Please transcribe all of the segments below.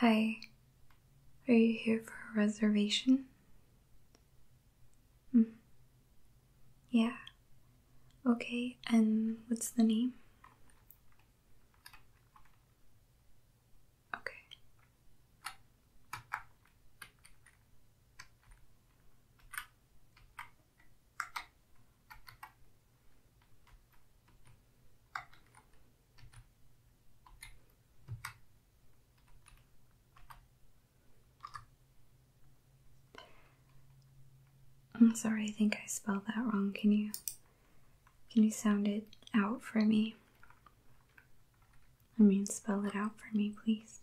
Hi, are you here for a reservation? Mm. Yeah, Okay, and what's the name? Okay. I'm sorry, I think I spelled that wrong. Can you can you sound it out for me? I mean, spell it out for me, please.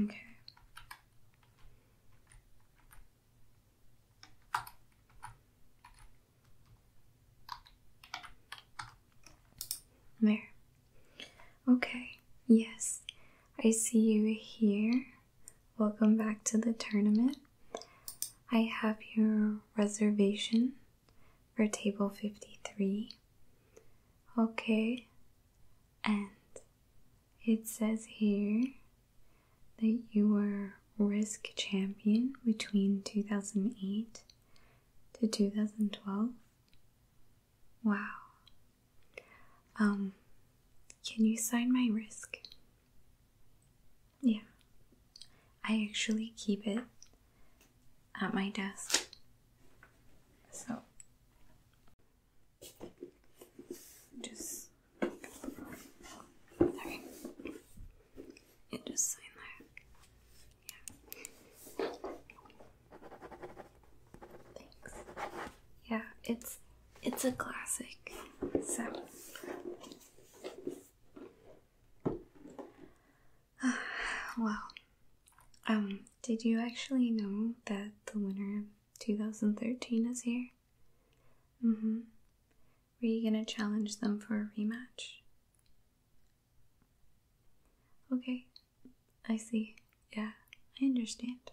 Okay. There. Okay, yes, I see you here. Welcome back to the tournament. I have your reservation for table 53. Okay, and it says here that you were risk champion between 2008 to 2012 Wow. Um, can you sign my risk? Yeah. I actually keep it at my desk. So just sorry. And just sign there. Yeah. Thanks. Yeah, it's it's a classic. So well, um, did you actually know that the winner of 2013 is here? Mm-hmm. Were you gonna challenge them for a rematch? Okay, I see. Yeah, I understand.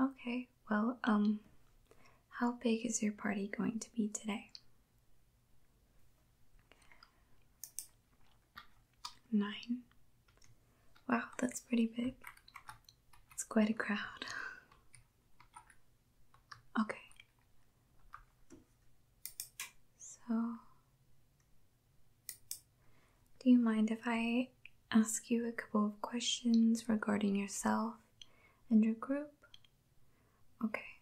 Okay, well, um, how big is your party going to be today? Nine. Wow, that's pretty big. It's quite a crowd. Okay, so, do you mind if I ask you a couple of questions regarding yourself and your group? Okay.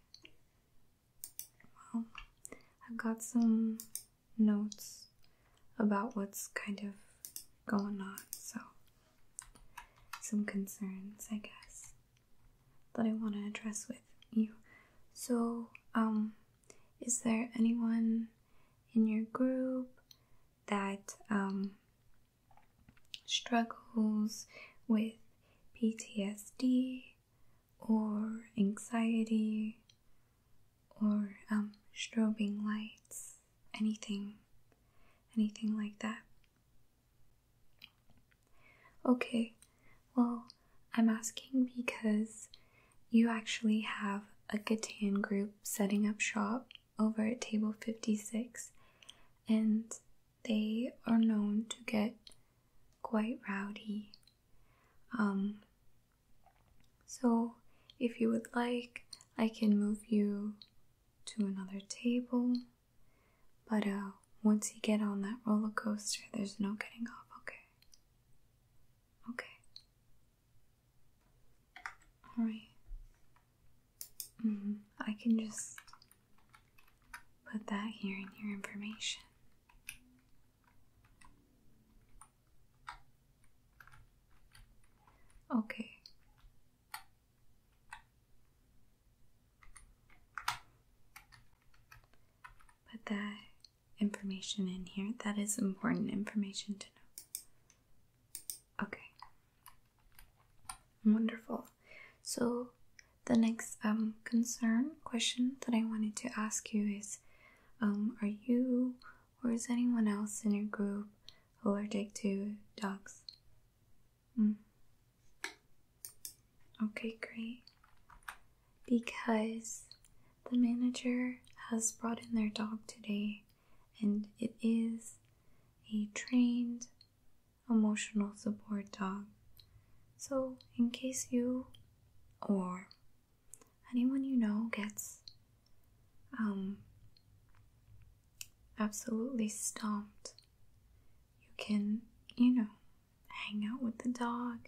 Well, I've got some notes about what's kind of going on, so some concerns, I guess that I want to address with you. So, um, is there anyone in your group that um, struggles with PTSD or anxiety or um, strobing lights, anything, anything like that? Okay, well, I'm asking because you actually have a Catan group setting up shop over at Table 56, and they are known to get quite rowdy. Um, so, if you would like, I can move you to another table. But uh, once you get on that roller coaster, there's no getting off, okay? Okay. Alright. -hmm. I can just put that here in your information. Okay. Put that information in here. That is important information to know. Okay. Wonderful. So the next um, concern question that I wanted to ask you is um, are you or is anyone else in your group allergic to dogs? Mm. Okay, great. Because the manager has brought in their dog today, and it is a trained emotional support dog. So, in case you or anyone you know gets um, absolutely stomped, you can, you know, hang out with the dog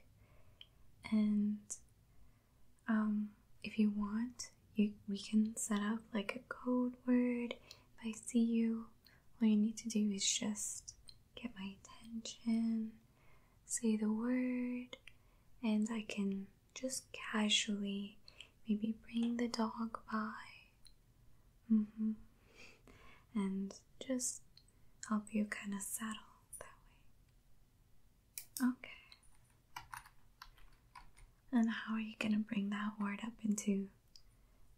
and um, if you want you, we can set up like a code word if i see you all you need to do is just get my attention say the word and i can just casually maybe bring the dog by Mm -hmm. And just help you kind of settle that way. Okay. And how are you going to bring that word up into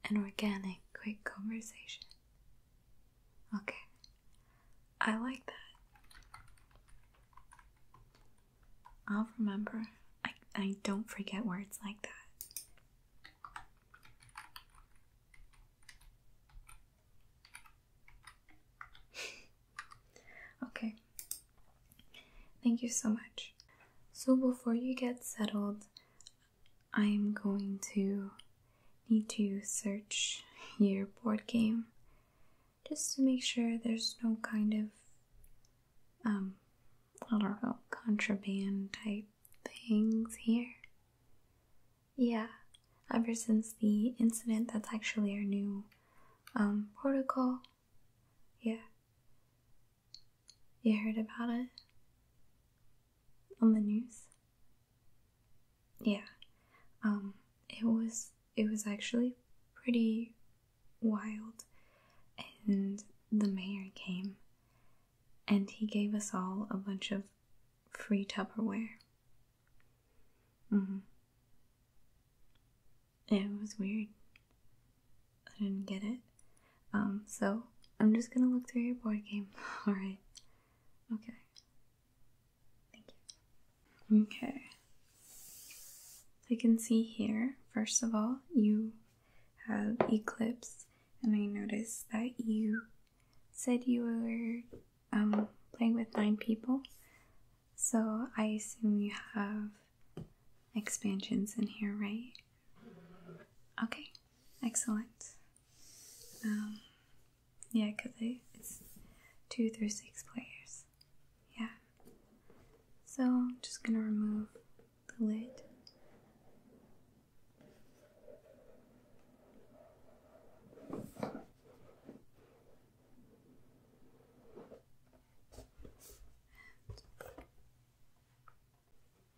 an organic, quick conversation? Okay. I like that. I'll remember. I, I don't forget words like that. okay. Thank you so much. So, before you get settled, I'm going to need to search your board game just to make sure there's no kind of, um, I don't know, contraband type things here. Yeah, ever since the incident, that's actually our new um, protocol. Yeah. You heard about it? On the news? Yeah. Um, it was it was actually pretty wild and the mayor came and he gave us all a bunch of free Tupperware. Mm-hmm. It was weird. I didn't get it. Um, so I'm just gonna look through your board game. Alright. Okay. Thank you. Okay. you can see here, first of all, you have Eclipse, and I noticed that you said you were um, playing with nine people. So I assume you have expansions in here, right? Okay, excellent. Um, yeah, because it's two through six players. Yeah. So I'm just gonna remove the lid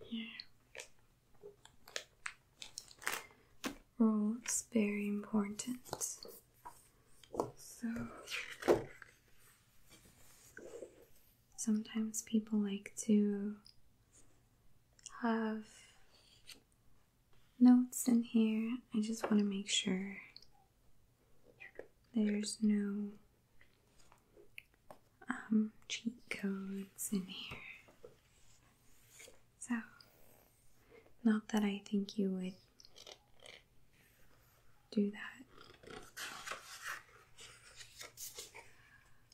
here. Rules very important. So sometimes people like to have notes in here. I just want to make sure there's no um, cheat codes in here. So, not that I think you would do that.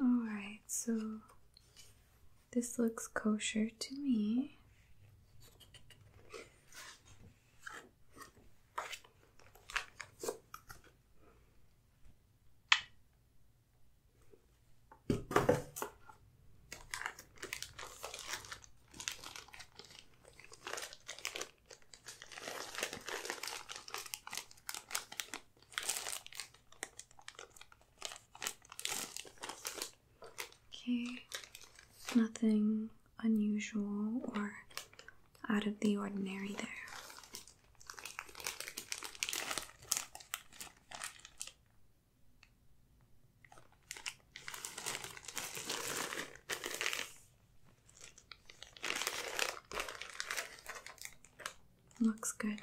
Alright, so this looks kosher to me. Okay, nothing unusual or out of the ordinary there. Looks good.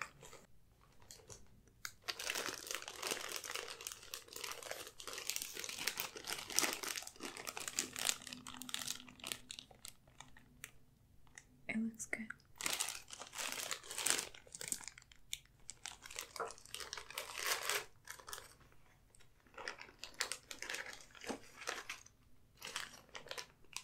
It looks good.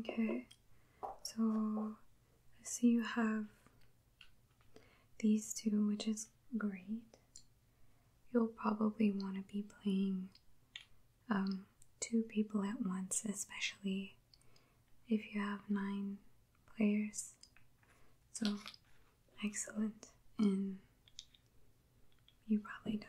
Okay, so I see you have these two, which is great. You'll probably want to be playing um, two people at once, especially if you have nine players. So excellent, and you probably don't.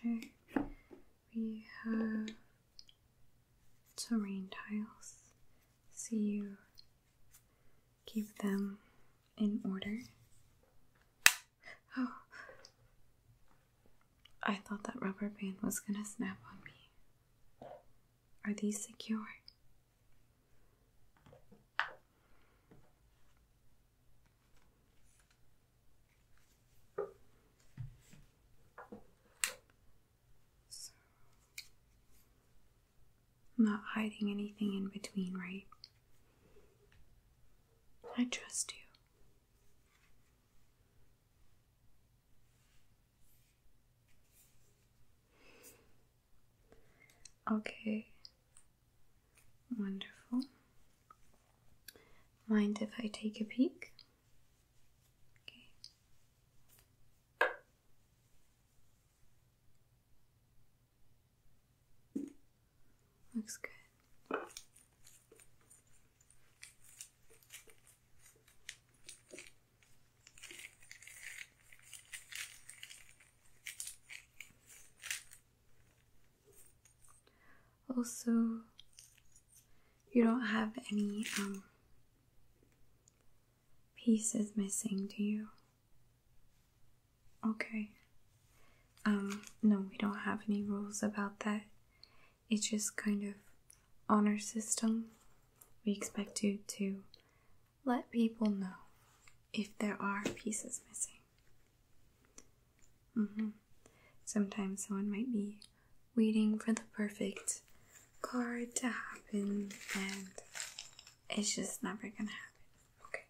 Okay, we have terrain tiles, so you keep them in order. Oh. I thought that rubber band was gonna snap on me. Are these secure? not hiding anything in between, right? I trust you. Okay, wonderful. Mind if I take a peek? Looks good. Also, you don't have any um, pieces missing, do you? Okay. Um, no, we don't have any rules about that. It's just kind of honor system. We expect you to let people know if there are pieces missing. Mm-hmm. Sometimes someone might be waiting for the perfect card to happen, and it's just never gonna happen. Okay.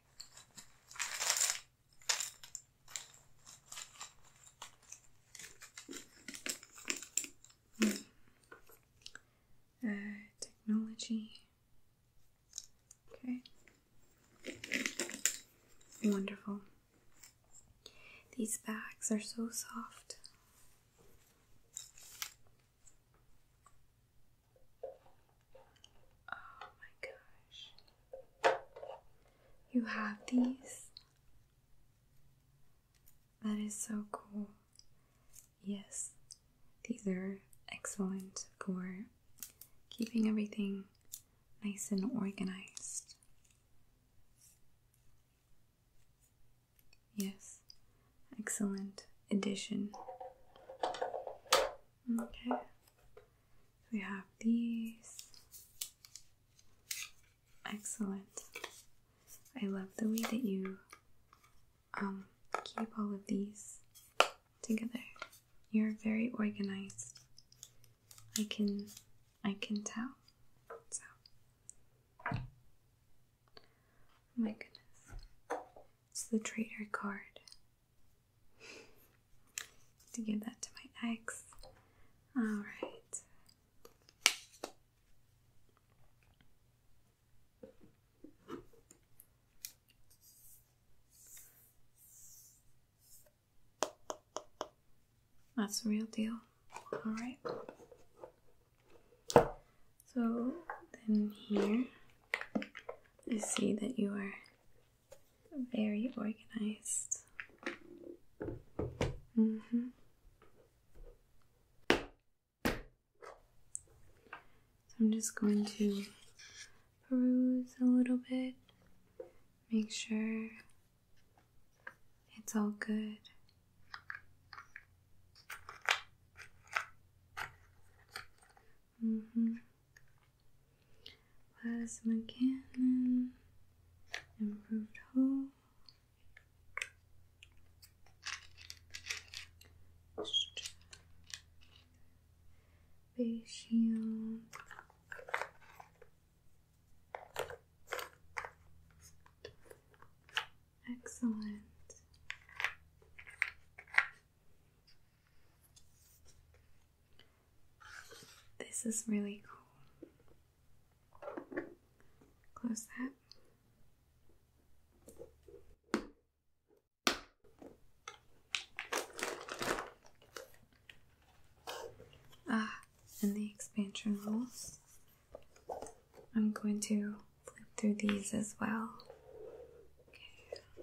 Hmm. Uh, technology. Okay. Wonderful. These bags are so soft. Oh my gosh. You have these? That is so cool. Yes, these are excellent for keeping everything nice and organized. Yes, excellent addition. Okay. We have these. Excellent. I love the way that you um keep all of these together. You're very organized. I can I can tell. oh my goodness. It's the traitor card to give that to my ex. All right. That's the real deal. All right. So then here, I see that you are very organized. Mm-hmm. I'm just going to peruse a little bit, make sure it's all good. Mm-hmm. Plasma cannon. Improved hole. Face shield. Excellent. This is really cool. Close that. Ah, and the expansion rules. I'm going to flip through these as well. Okay.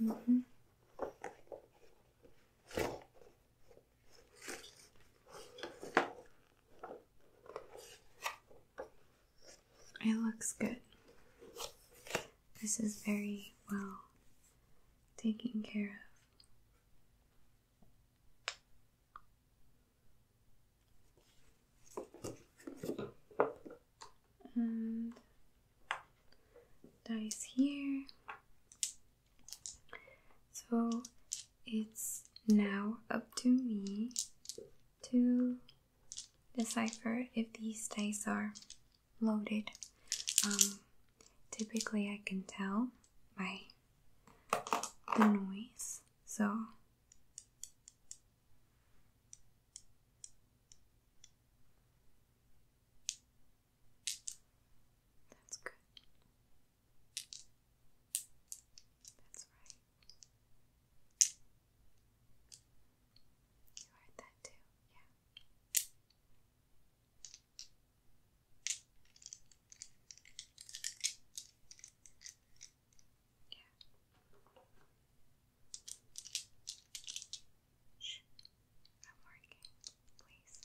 Mm-hmm. It looks good. This is very well taken care of and dice here. So it's now up to me to decipher if these dice are loaded. Um, Typically, I can tell by the noise, so that's good. That's right. You heard that too, yeah. Shh. I'm working, please.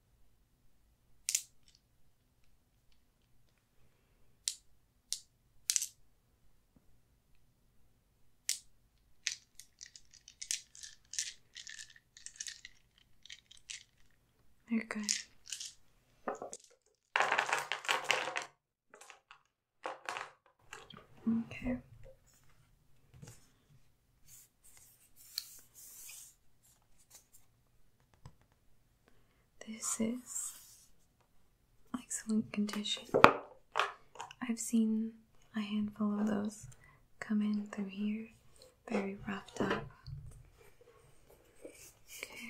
they Okay. This is excellent condition. I've seen a handful of those come in through here, very roughed up. Okay.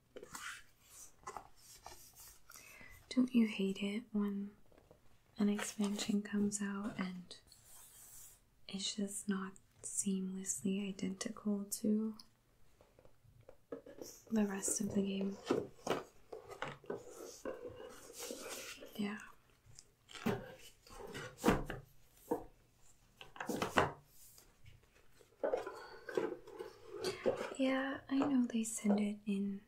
Don't you hate it when an expansion comes out and it's just not seamlessly identical to the rest of the game? Yeah. Yeah, I know they send it in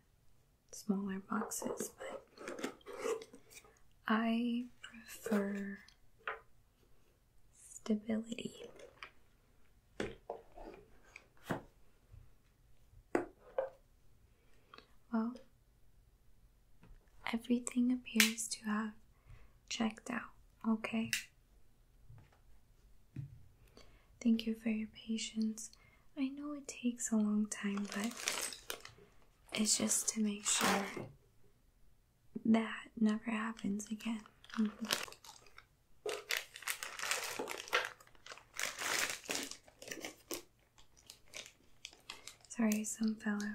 smaller boxes, but I prefer stability. Well, everything appears to have checked out, okay? Thank you for your patience. I know it takes a long time, but it's just to make sure that never happens again. Mm-hmm. Sorry, some fellow.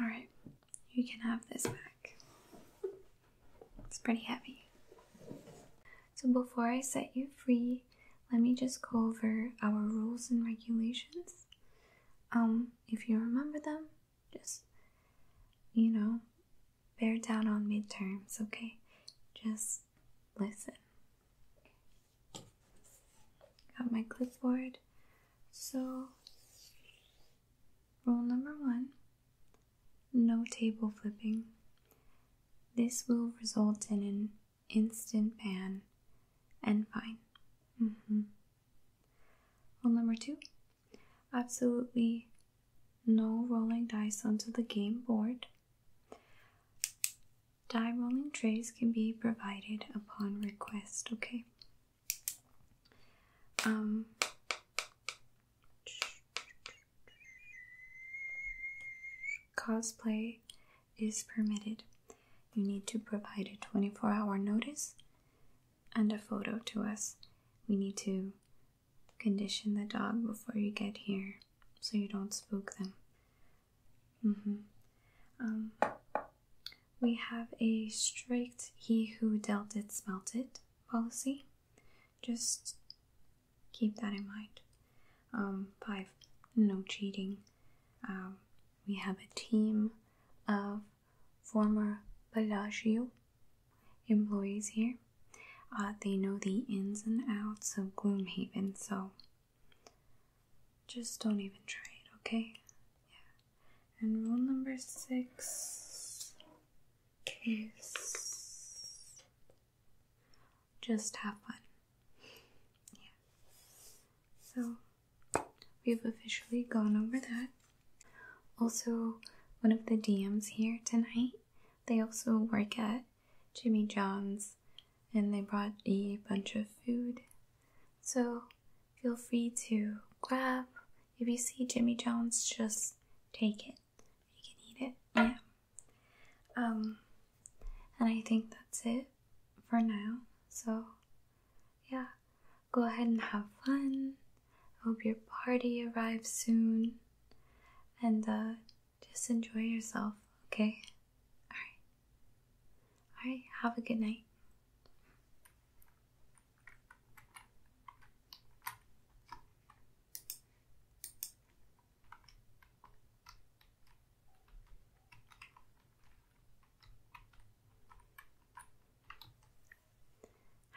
All right, you can have this back. It's pretty heavy. So, before I set you free, let me just go over our rules and regulations. Um, if you remember them, just, you know, bear down on midterms, okay? Just listen. Got my clipboard. So, rule number one no table flipping. This will result in an instant pan, and fine. Mm-hmm. Rule number two absolutely no rolling dice onto the game board. Die rolling trays can be provided upon request, okay? Um, cosplay is permitted, you need to provide a 24 hour notice and a photo to us. We need to condition the dog before you get here so you don't spook them. Mm-hmm. Um, we have a strict he who dealt it smelt it policy. Just keep that in mind. Um, five, no cheating. Um, we have a team of former Bellagio employees here. Uh, they know the ins and outs of Gloomhaven, so just don't even try it, okay? Yeah. And rule number six is just have fun. Yeah. So we've officially gone over that. Also, one of the DMs here tonight, they also work at Jimmy John's and they brought a bunch of food. So feel free to grab. If you see Jimmy John's, just take it. You can eat it. Yeah. Um, and I think that's it for now. So, yeah, go ahead and have fun. I Hope your party arrives soon. And uh, just enjoy yourself, okay? Alright. Alright, have a good night.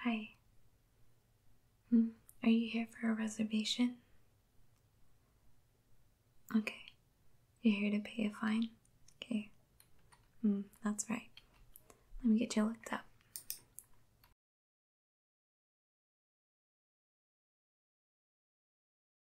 Hi. Hmm. Are you here for a reservation? Okay. You're here to pay a fine? Okay. Hmm, that's right. Let me get you looked up.